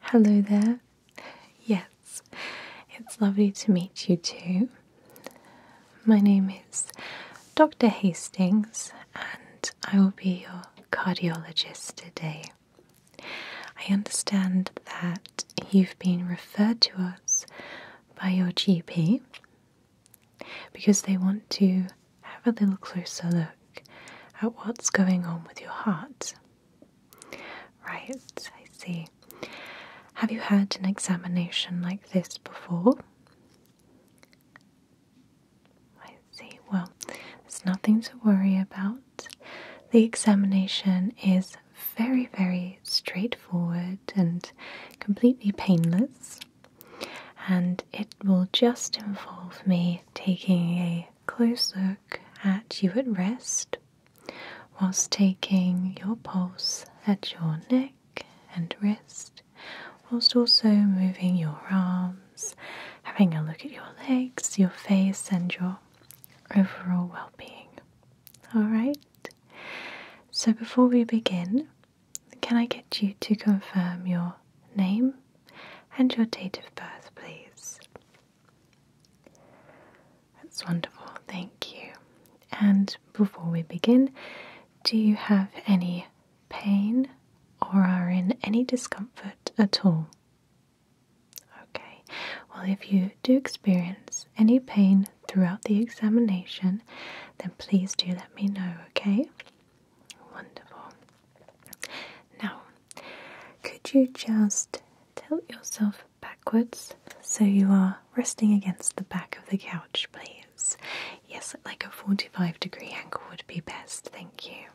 Hello there. Yes, it's lovely to meet you too. My name is Dr. Hastings, and I will be your cardiologist today. I understand that you've been referred to us by your GP because they want to have a little closer look at what's going on with your heart. Right, I see. Have you had an examination like this before? I see. Well, there's nothing to worry about. The examination is very, very straightforward and completely painless, and it will just involve me taking a close look at you at rest whilst taking your pulse at your neck and wrist, whilst also moving your arms, having a look at your legs, your face, and your overall well being. Alright? So before we begin, can I get you to confirm your name and your date of birth, please? That's wonderful, thank you. And before we begin, do you have any pain or are in any discomfort at all? Okay, well, if you do experience any pain throughout the examination, then please do let me know, okay? Wonderful. Now, could you just tilt yourself backwards so you are resting against the back of the couch, please? Yes, like a 45 degree angle would be best, thank you.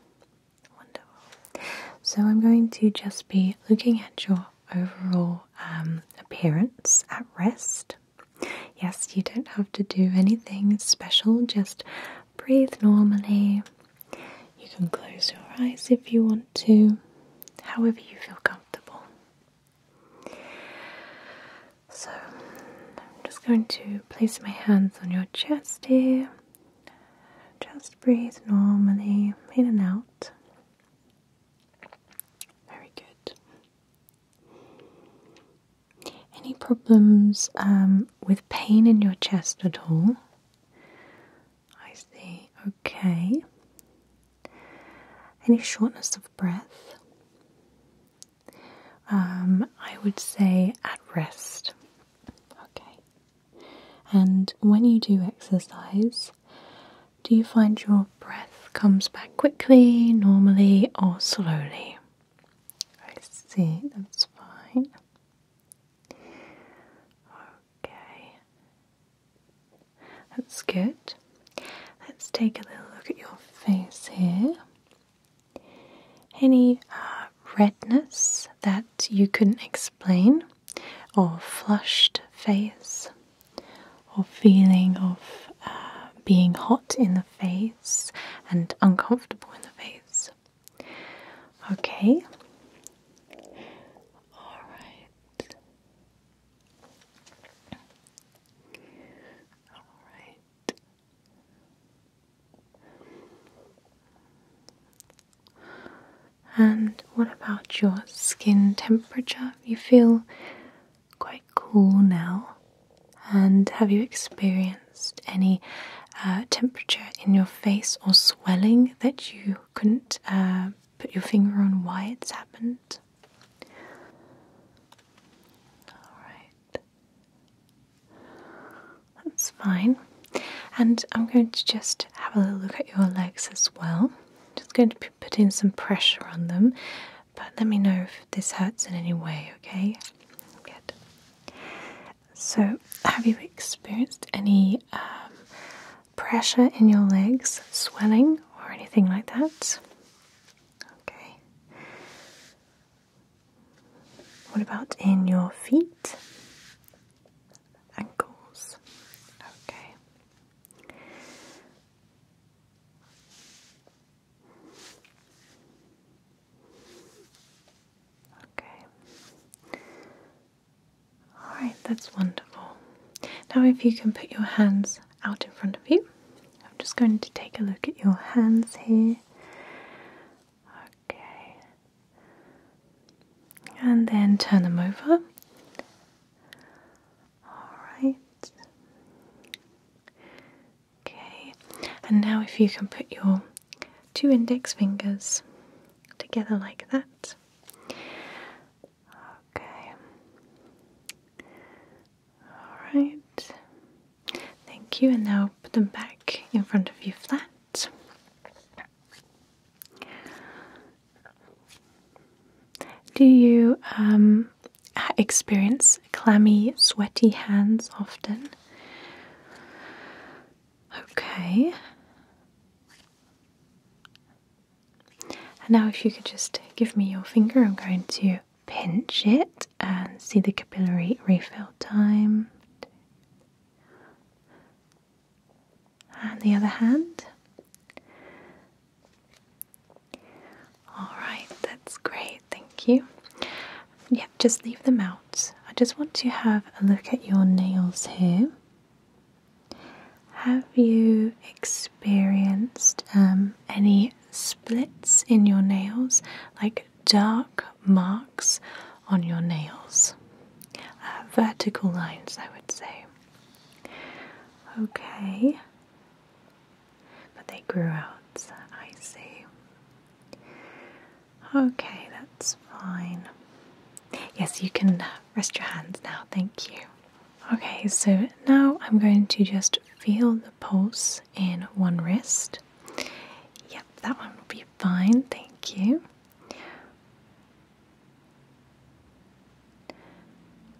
Wonderful. So, I'm going to just be looking at your overall um, appearance at rest. Yes, you don't have to do anything special, just breathe normally, you can close your eyes if you want to, however, you feel comfortable. So, I'm just going to place my hands on your chest here. Just breathe normally in and out. Very good. Any problems um, with pain in your chest at all? I see. Okay. Any shortness of breath? Um, I would say at rest. Okay. And when you do exercise, do you find your breath comes back quickly, normally, or slowly? I see, that's fine. Okay. That's good. Let's take a little look at your face here. Any uh, redness that you couldn't explain, or flushed face, or feeling of uh, being hot in the face and uncomfortable in the face? Okay. All right. All right. And what about your skin temperature? You feel quite cool now. And have you experienced any uh, temperature in your face or swelling that you couldn't uh, put your finger on why it's happened. Alright, that's fine. And I'm going to just have a little look at your legs as well. Just going to be putting some pressure on them, but let me know if this hurts in any way, okay? Good. So, have you experienced any um, pressure in your legs, swelling, or anything like that? Okay. What about in your feet? Ankles. Okay. Okay. Alright, that's wonderful. Now, if you can put your hands out in front of you, I'm just going to take a look at your hands here. Okay. And then turn them over. Alright. Okay. And now, if you can put your two index fingers together like that. Okay. Alright. Thank you, and now put them back in front of you flat. Do you um, experience clammy, sweaty hands often? Okay. And now, if you could just give me your finger, I'm going to pinch it and see the capillary refill time. And the other hand. All right, that's great. Thank you. Yeah, just leave them out I just want to have a look at your nails here. Have you experienced um, any splits in your nails, like dark marks on your nails? Uh, vertical lines, I would say. Okay, but they grew out, I see. Okay, that's fine. Yes, you can rest your hands now, thank you. Okay, so now I'm going to just feel the pulse in one wrist. Yep, that one will be fine, thank you.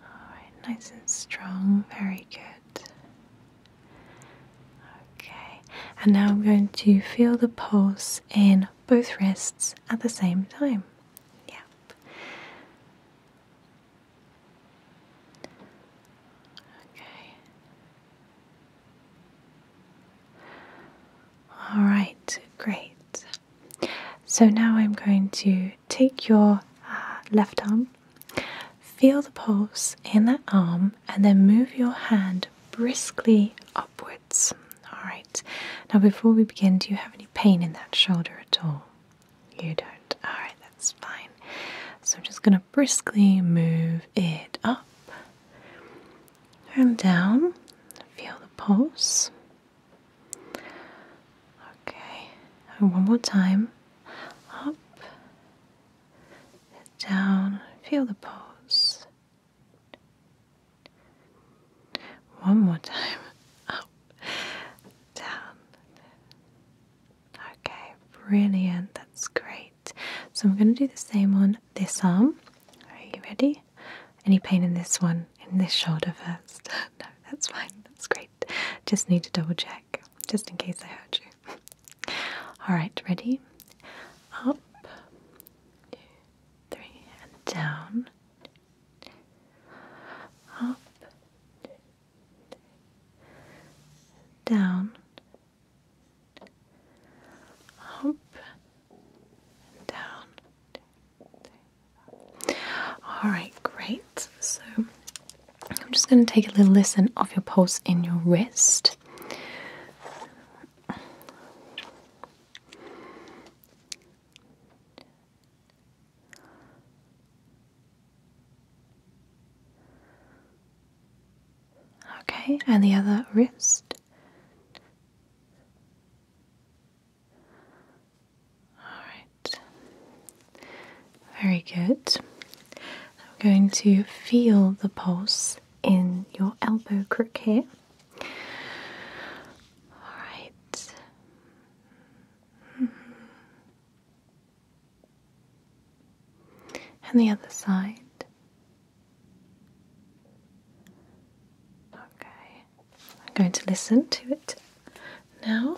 Alright, nice and strong, very good. Okay, and now I'm going to feel the pulse in both wrists at the same time. Yep. Okay. All right, great. So now I'm going to take your uh, left arm, feel the pulse in that arm, and then move your hand briskly upwards. Alright, now before we begin, do you have any pain in that shoulder at all? You don't. Alright, that's fine. So I'm just going to briskly move it up and down. Feel the pulse. Okay, and one more time. Up, down, feel the pulse. One more time. Up, down. Okay, brilliant. That's great. So I'm going to do the same on this arm. Are you ready? Any pain in this one, in this shoulder first? no, that's fine. That's great. Just need to double check, just in case I hurt you. All right, ready? Up, two, three, and down. Up, down. Up, down. All right, great. So I'm just going to take a little listen of your pulse in your wrist. Okay, and the other wrist. All right. Very good. I'm going to feel the pulse in your elbow crook here. Alright. And the other side. Okay, I'm going to listen to it now.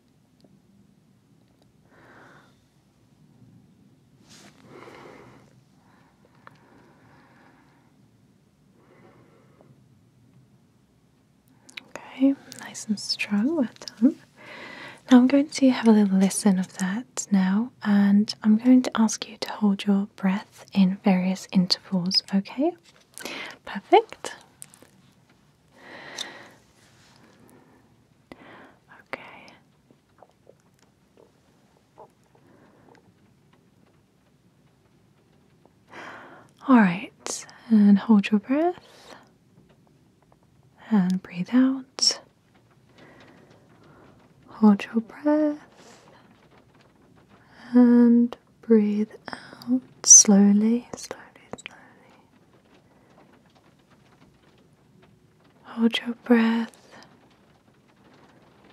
Okay, nice and strong, well done. Now I'm going to have a little listen of that now, and I'm going to ask you to hold your breath in various intervals, okay? Perfect. Okay. All right, and hold your breath and breathe out. Hold your breath and breathe out slowly, slowly, slowly. Hold your breath.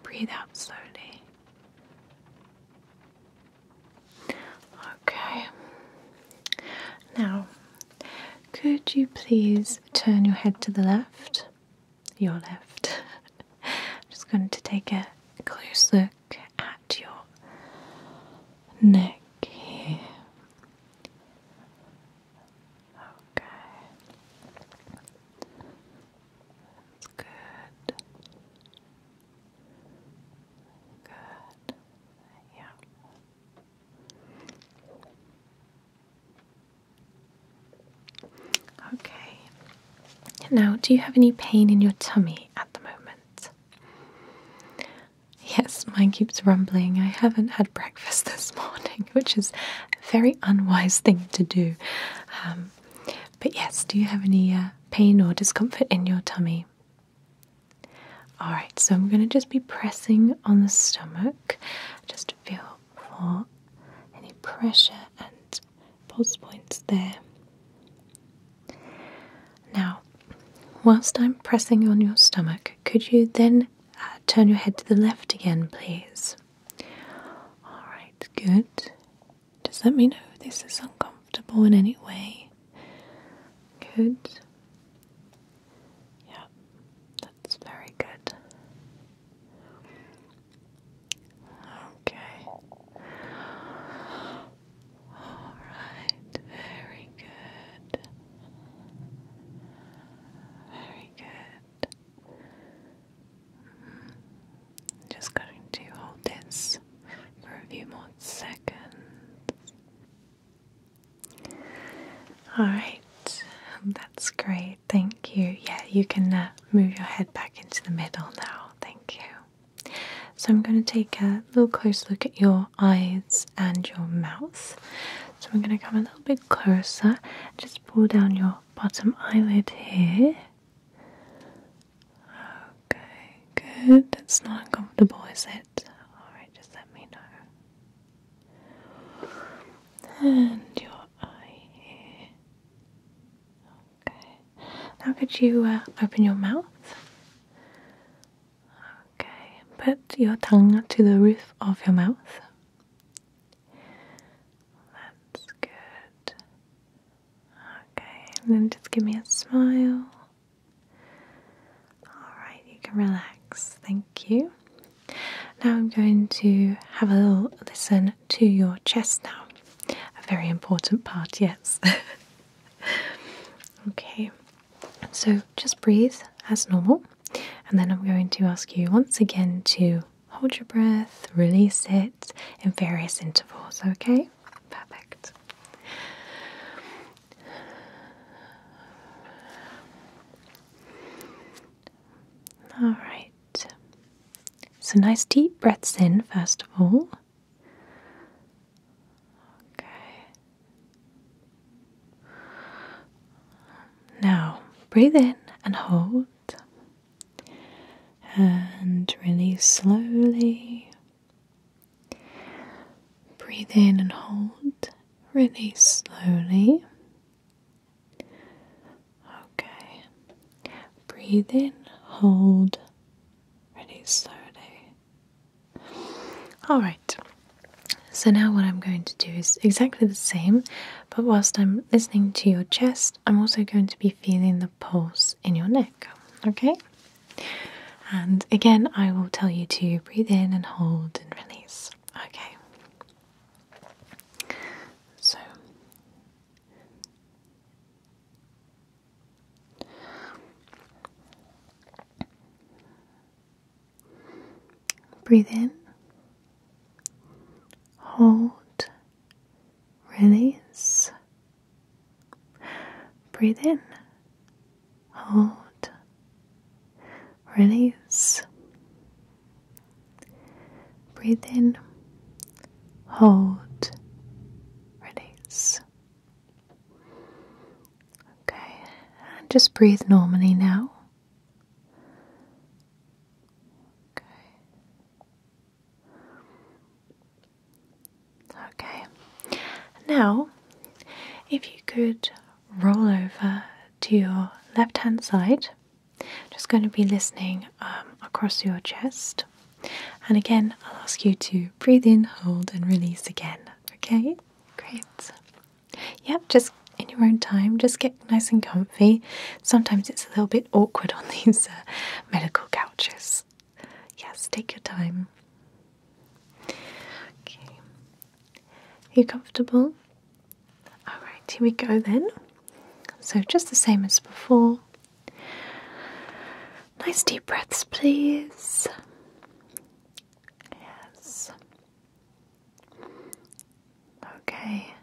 Breathe out slowly. Okay. Now, could you please turn your head to the left? Your left. I'm just going to take a close look at your neck here. Okay. That's good. Good. Yeah. Okay. Now, do you have any pain in your tummy at the moment? Yes, mine keeps rumbling. I haven't had breakfast this morning, which is a very unwise thing to do. Um, but yes, do you have any uh, pain or discomfort in your tummy? Alright, so I'm going to just be pressing on the stomach just to feel for any pressure and pulse points there. Now, whilst I'm pressing on your stomach, could you then uh, turn your head to the left again, please? Alright, good. Just let me know if this is uncomfortable in any way. Good. Yeah, that's very good. Okay. All right, very good. Very good. Mm-hmm. just going to hold this for a few more seconds. All right, that's great. Thank you. Yeah, you can uh, move your head back into the middle now. Thank you. So I'm going to take a little close look at your eyes and your mouth. So I'm going to come a little bit closer. Just pull down your bottom eyelid here. Okay, good. That's not uncomfortable, is it? Alright, just let me know. And your eye here. Okay. Now, could you uh, open your mouth? Okay, put your tongue to the roof of your mouth. That's good. Okay, and then just give me a smile. Alright, you can relax. Thank you. Now I'm going to have a little listen to your chest now. A very important part, yes. okay, so just breathe as normal, and then I'm going to ask you once again to hold your breath, release it in various intervals, okay? Perfect. All right. So, nice deep breaths in, first of all. Okay. Now breathe in and hold and release slowly. Breathe in and hold, release slowly. Okay. Breathe in, hold, release slowly. Alright, so now what I'm going to do is exactly the same, but whilst I'm listening to your chest, I'm also going to be feeling the pulse in your neck, okay? And again, I will tell you to breathe in and hold and release, okay? So Breathe in, hold, release. Breathe in, hold, release. Breathe in, hold, release. Okay, just breathe normally now. Okay. Now, if you could roll over to your left hand side, just going to be listening um, across your chest. And again, I'll ask you to breathe in, hold, and release again. Okay, great. Yep, just in your own time, just get nice and comfy. Sometimes it's a little bit awkward on these uh, medical couches. Yes, take your time. Okay, are you comfortable? Alright, here we go then. So, just the same as before. Nice deep breaths, please. Yes. Okay.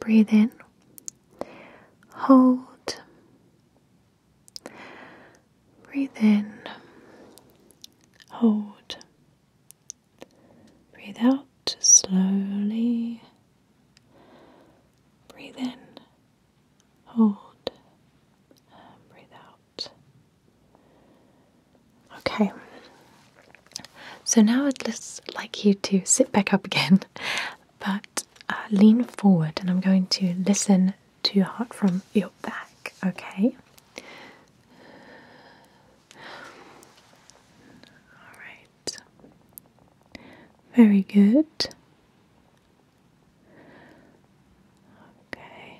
Breathe in. Hold. Breathe in. Hold. Breathe out slowly. Breathe in hold, and breathe out. Okay, so now I'd just like you to sit back up again, but uh, lean forward, and I'm going to listen to your heart from your back, okay? All right. Very good. Okay.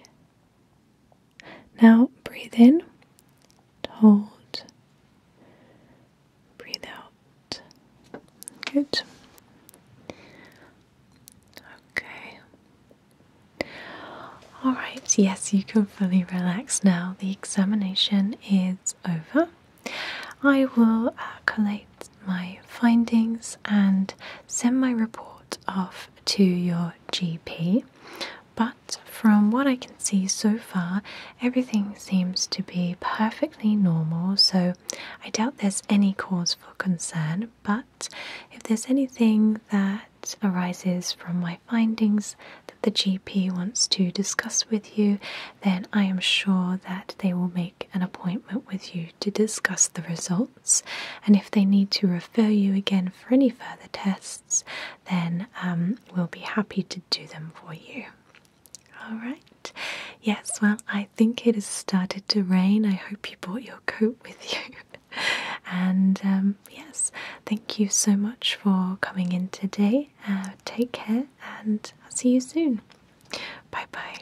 Now breathe in, hold, breathe out. Good. Okay. All right, yes, you can fully relax now. The examination is over. I will uh, my findings and send my report off to your GP. But from what I can see so far, everything seems to be perfectly normal, so I doubt there's any cause for concern. But if there's anything that arises from my findings that the GP wants to discuss with you, then I am sure that they will make an appointment with you to discuss the results, and if they need to refer you again for any further tests, then um, we'll be happy to do them for you. All right, yes, well, I think it has started to rain. I hope you brought your coat with you. and um, yes, thank you so much for coming in today. Uh, take care, and I'll see you soon. Bye bye.